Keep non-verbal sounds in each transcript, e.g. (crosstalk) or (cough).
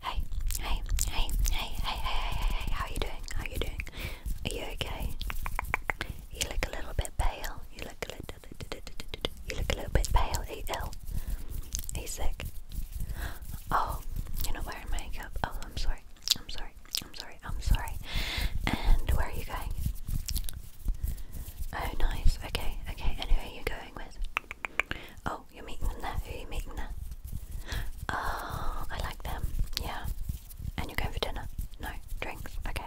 Hey, hey, hey, hey, hey, hey, hey, hey, how are you doing? How are you doing? Are you okay? You look a little bit pale. You look a little, you look a little bit pale. Are you ill? Are you sick? Oh, you're not wearing makeup. Oh, I'm sorry. I'm sorry. I'm sorry. I'm sorry. And where are you going? Oh, nice. Okay, okay. And who are you going with? Oh, Oh, you're meeting them there. Who are you meeting there? Oh, I like them. Yeah. And you're going for dinner? No. Drinks? Okay.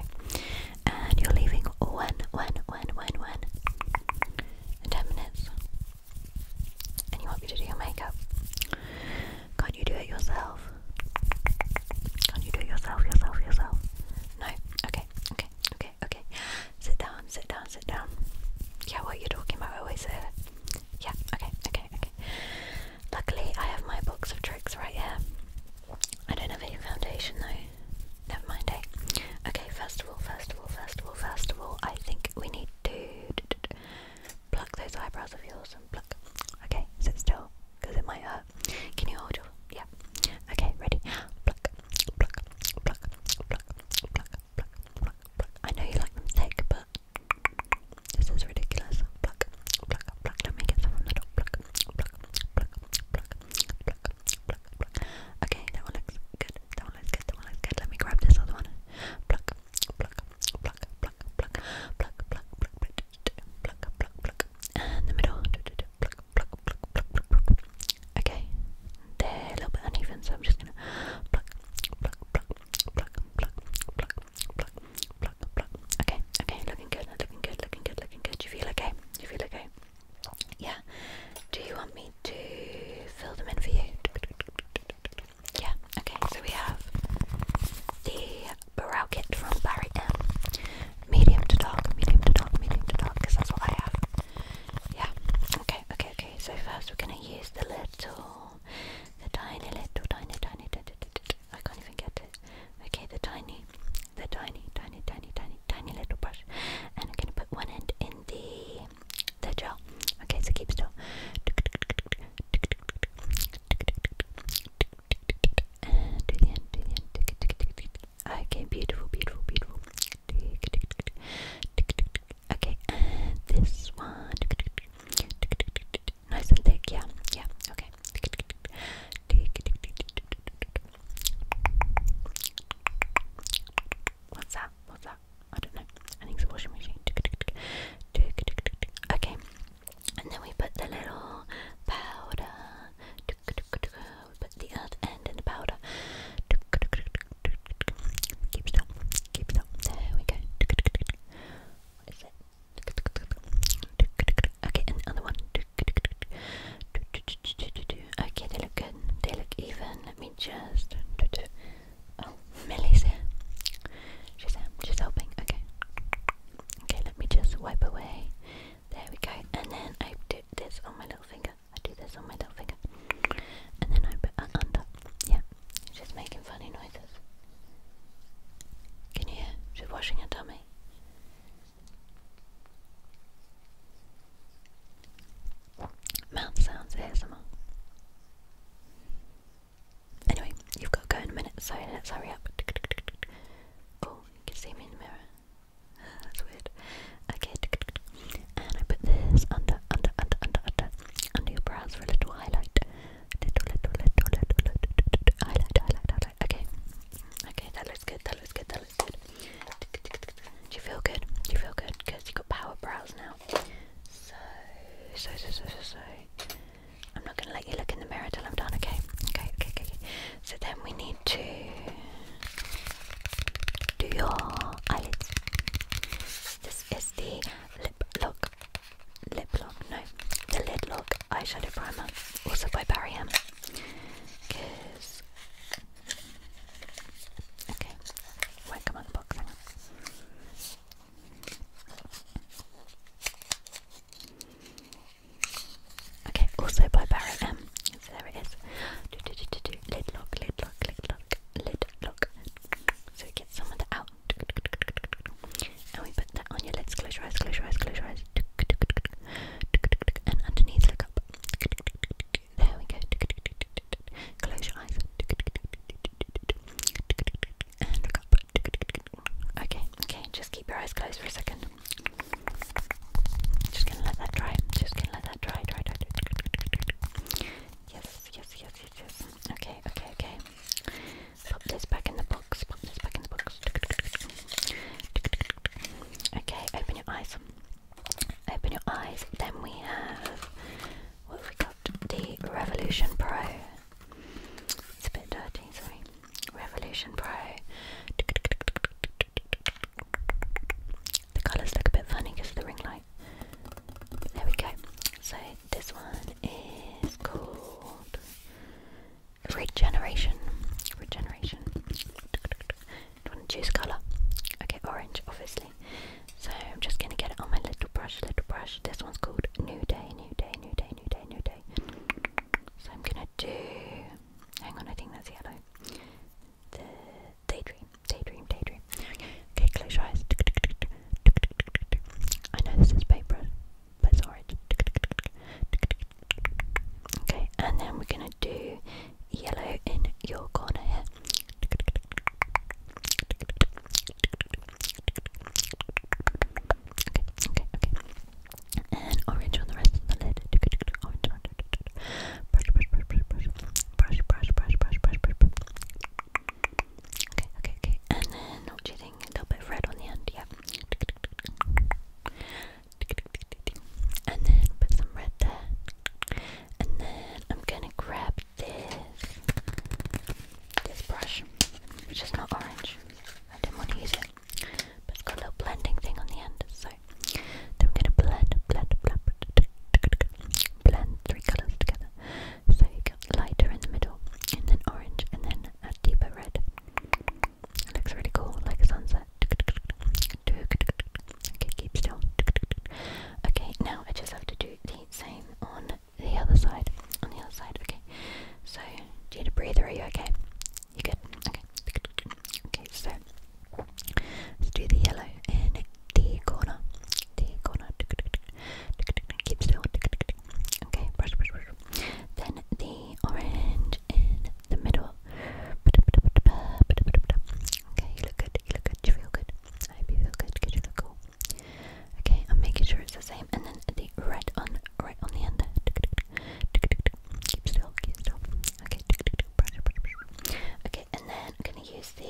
And you're leaving when, when, when, when, when? In 10 minutes. And you want me to do your makeup? Can't you do it yourself? Can't you do it yourself, yourself, yourself? No. Okay, okay, okay, okay. Sit down, sit down, sit down. Yeah, what you're talking about, I always say it. Yeah, okay, okay, okay. Luckily, I have my box of tricks right here. I don't have any foundation though. Never mind, eh? Okay, first of all, first of all, first of all, first of all, I think we need to pluck those eyebrows of yours and pluck. Okay, sit still, because it might hurt. Can you hold your. Yeah. Okay, ready? Pluck, pluck, pluck, pluck, pluck, pluck, I know you like them thick, but this is ridiculous. Pluck, pluck, pluck. Don't the top. Okay, that one looks good. That one looks good. That one looks good. Let me grab this other one. And the middle. Okay, they're a little bit uneven, so I'm just gonna pluck, pluck, pluck, pluck, pluck, pluck, pluck, pluck, pluck. Okay, okay, looking good, looking good, looking good, looking good. Do you feel okay? Do you feel okay? Yeah. Do you want me to fill them in for you? Yeah. Okay. So we have the brow kit from Barry Medium to dark, medium to dark, medium to dark, because that's what I have. Yeah. Okay. Okay so first we're gonna use the little, the tiny little, tiny, tiny, tiny, tiny, little brush, and I'm gonna put one end in the the gel. Okay, so keep still. And do the Okay, beautiful, beautiful, beautiful. Okay, and this one. Nice and thick, yeah, yeah, okay. What's that? What's that? I don't know. I think it's a washing machine. Okay, and then we put the little powder. We put the earth end in the powder. There we go. Okay, and other one. Okay, they look good. They look even. Let me just. Oh, Millie's here. She's here. Um, she's helping. Okay. Okay, let me just wipe away. There we go. And then I do this on my little finger. I do this on my little finger. And then I put under. Yeah, she's making funny noises. Can you hear? She's washing her tummy. Mouth sounds ASMR. Anyway, you've got to go in a minute, so let's hurry up. Oh, you can see me in the mirror. (sighs) That's weird. Okay. And I put this under, under, under, under, under, under your brows for a little highlight. Little, little, little, little, little, little highlight, highlight, highlight. Okay, okay, that looks good. That looks good. That looks good. Do you feel good? Do you feel good? Because you got power brows now. So, so, so, so, so, so. I'm not gonna let you look in the mirror till I'm done. Okay, okay, okay, okay. So then we need to do your eyelids. This is the Lip Lock, Lip Lock, no, the Lid Lock Eyeshadow Primer, also by Barry M. okay, Okay, also by Barry M. there it is. Lid lock, lid lock, lid lock, lid lock. So we get some of that out. And we put that on your lids. Close your eyes, close your eyes, close your eyes. And underneath, look up. There we go. Close your eyes. And look up. Okay, okay, just keep your eyes closed for a second. Just gonna let that dry. Just gonna let that dry, dry, dry. dry. Yes, yes, yes, Okay, okay, okay. Pop this back in the box. Pop this back in the box. Okay, open your eyes. Open your eyes. Then we have what have we got? The Revolution Pro. It's a bit dirty, sorry. Revolution Pro. The colours look a bit funny because of the ring light. There we go. So this one is called Regeneration. Regeneration. Do you want to choose colour? Okay, orange, obviously. So I'm just going to get it on my little brush, little brush. This one's called New Day, New Day, New Day, New Day, New Day. So I'm going to do. Hang on, I think that's yellow daydream, daydream, daydream. Okay, close your eyes. I know this is paper, but it's Okay, and then we're gonna do yellow in your corner here. Okay, okay, okay. And orange on the rest of the lid. Orange, Brush, brush, brush, brush, brush. Brush, brush, brush, brush, brush, brush. Okay, okay, okay. And then not cheating a little bit red on the end, yeah. And then put some red there. And then I'm gonna grab this this brush, which is not orange. I didn't want to use it. But it's got a little blending thing on the end, so then we're gonna blend, blend, blend, blend three colours together. So you get lighter in the middle, and then orange, and then a deeper red. looks really cool, like a sunset. Okay, keep still. Okay, now I just have to do the same on the other side. On the other side, okay. So, do you need a breather? Are you okay? You good? Okay. Okay, so let's do the yellow next the corner, the corner. Keeps still. Okay, brush, brush, brush. Then the orange in the middle. Okay, you look good. You look good. You feel good. I hope you feel good because you look cool. Okay, I'm making sure it's the same. And then the red on right on the end. Keep still. Keep still. Okay. Okay, and then I'm gonna use the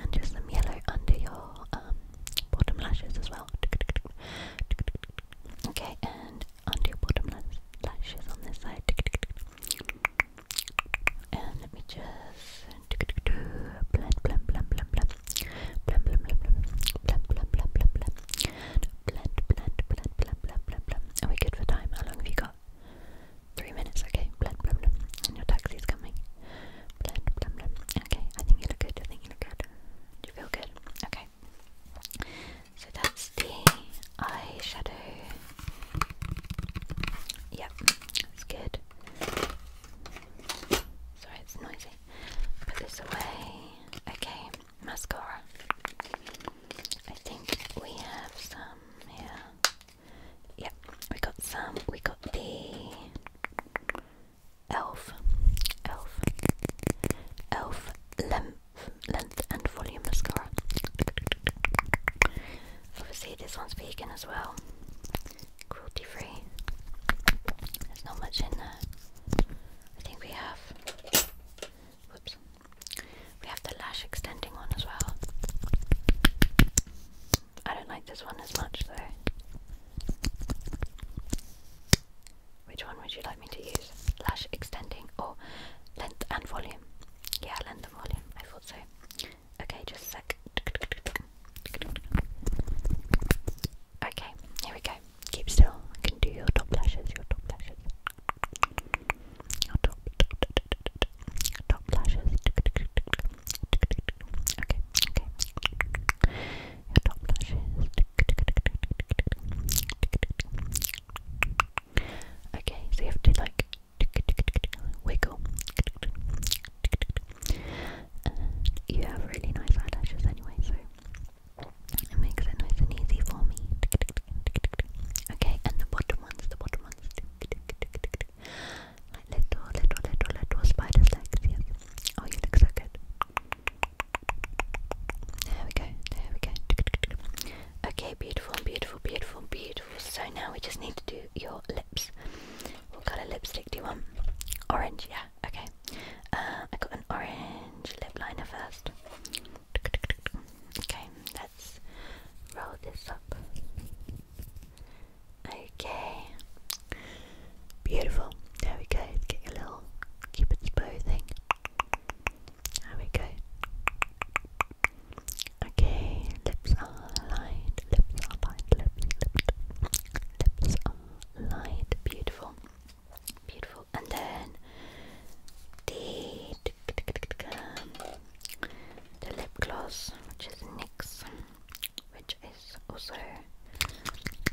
and just some yellow under your bottom lashes as well. Okay, and under your bottom lashes on this side. And let me just blend, blend, blend, blend, blend, blend, blend, blend, blend, blend, blend. Blend, blend, blend, blend, blend, blend, blend. Are we good for time? How long have you got? Three minutes, okay. Blend, blend, And your taxi is coming. Blend, blend, Okay, I think you look good. I think you look good. Do you feel good? Okay. So that's the eyeshadow. Yep, that's good. Sorry, it's noisy. Put this away. Okay, mascara. I think we have some Yeah. Yep, we got some. We got the elf, elf, elf length, length and volume mascara. Obviously, this one's vegan as well, cruelty free. There's not much in there. I think we have. Whoops. We have the lash extending one as well. I don't like this one as much though. Which one would you like me to use? Lash extending or length and volume? Yeah, length and volume. I thought so. Okay, just a sec. Okay, here we go. Keep still. I can do your top lashes, your top lashes. Top lashes. Okay, okay. top lashes. Okay, so you have to like wiggle. you have really nice eyelashes anyway, so it makes it nice and easy for me. Okay, and the bottom ones, the bottom ones. Like little, little, little, little spider's legs, yes. Oh, you look so good. There we go, there we go. Okay, beautiful, beautiful, beautiful, beautiful. So now we just need to do your lips. What kind of lipstick do you want? Orange, yeah, okay. Uh, I got an orange lip liner first. Okay, let's roll this up. Okay. Beautiful. There we go. It's getting a little cupid's bow thing. There we go. Okay, lips are lined, lips are lined, lips, lips, lips are lined. Beautiful. Beautiful. And then the the lip gloss, which is NYX which is also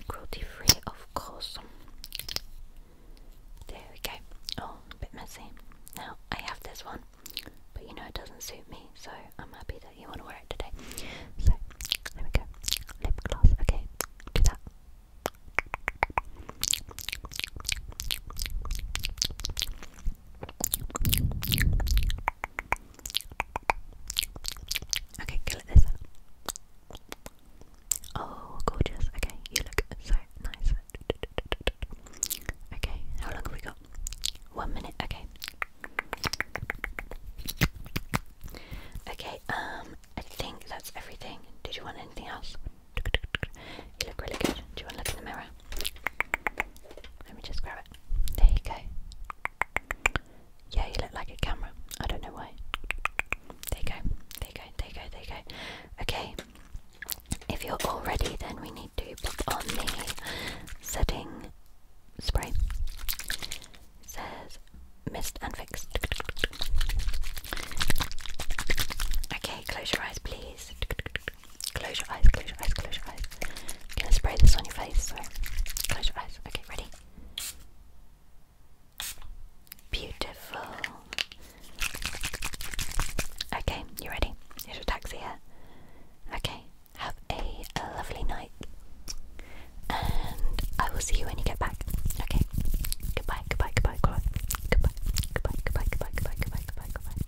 cruelty free, of course. There we go. Oh, a bit messy. Now I have this one, but you know it doesn't suit me, so I'm happy that you want to wear it today. So there we go. Lip gloss. Okay, do that. Okay, go like this. Oh, gorgeous. Okay, you look so nice. Okay, how long we got? One minute. Okay. Okay. Um, I think that's everything. Did you want anything else? You look really good. Do you want to look in the mirror? Let me just grab it. There you go. Yeah, you look like a camera. I don't know why. There you go. There you go. There you go. There you go. Okay. If you're all ready, then we need to put on the setting spray. says mist and fix. Okay, close your eyes, please. Close your eyes, close your eyes, close your eyes. I'm gonna spray this on your face, so close your eyes. Okay, ready? Beautiful. Okay, you ready? Here's your taxi here. Okay, have a, a lovely night. And I will see you when you get back. Okay. Goodbye, goodbye, goodbye, goodbye. Goodbye, goodbye, goodbye, goodbye, goodbye, goodbye, goodbye, goodbye.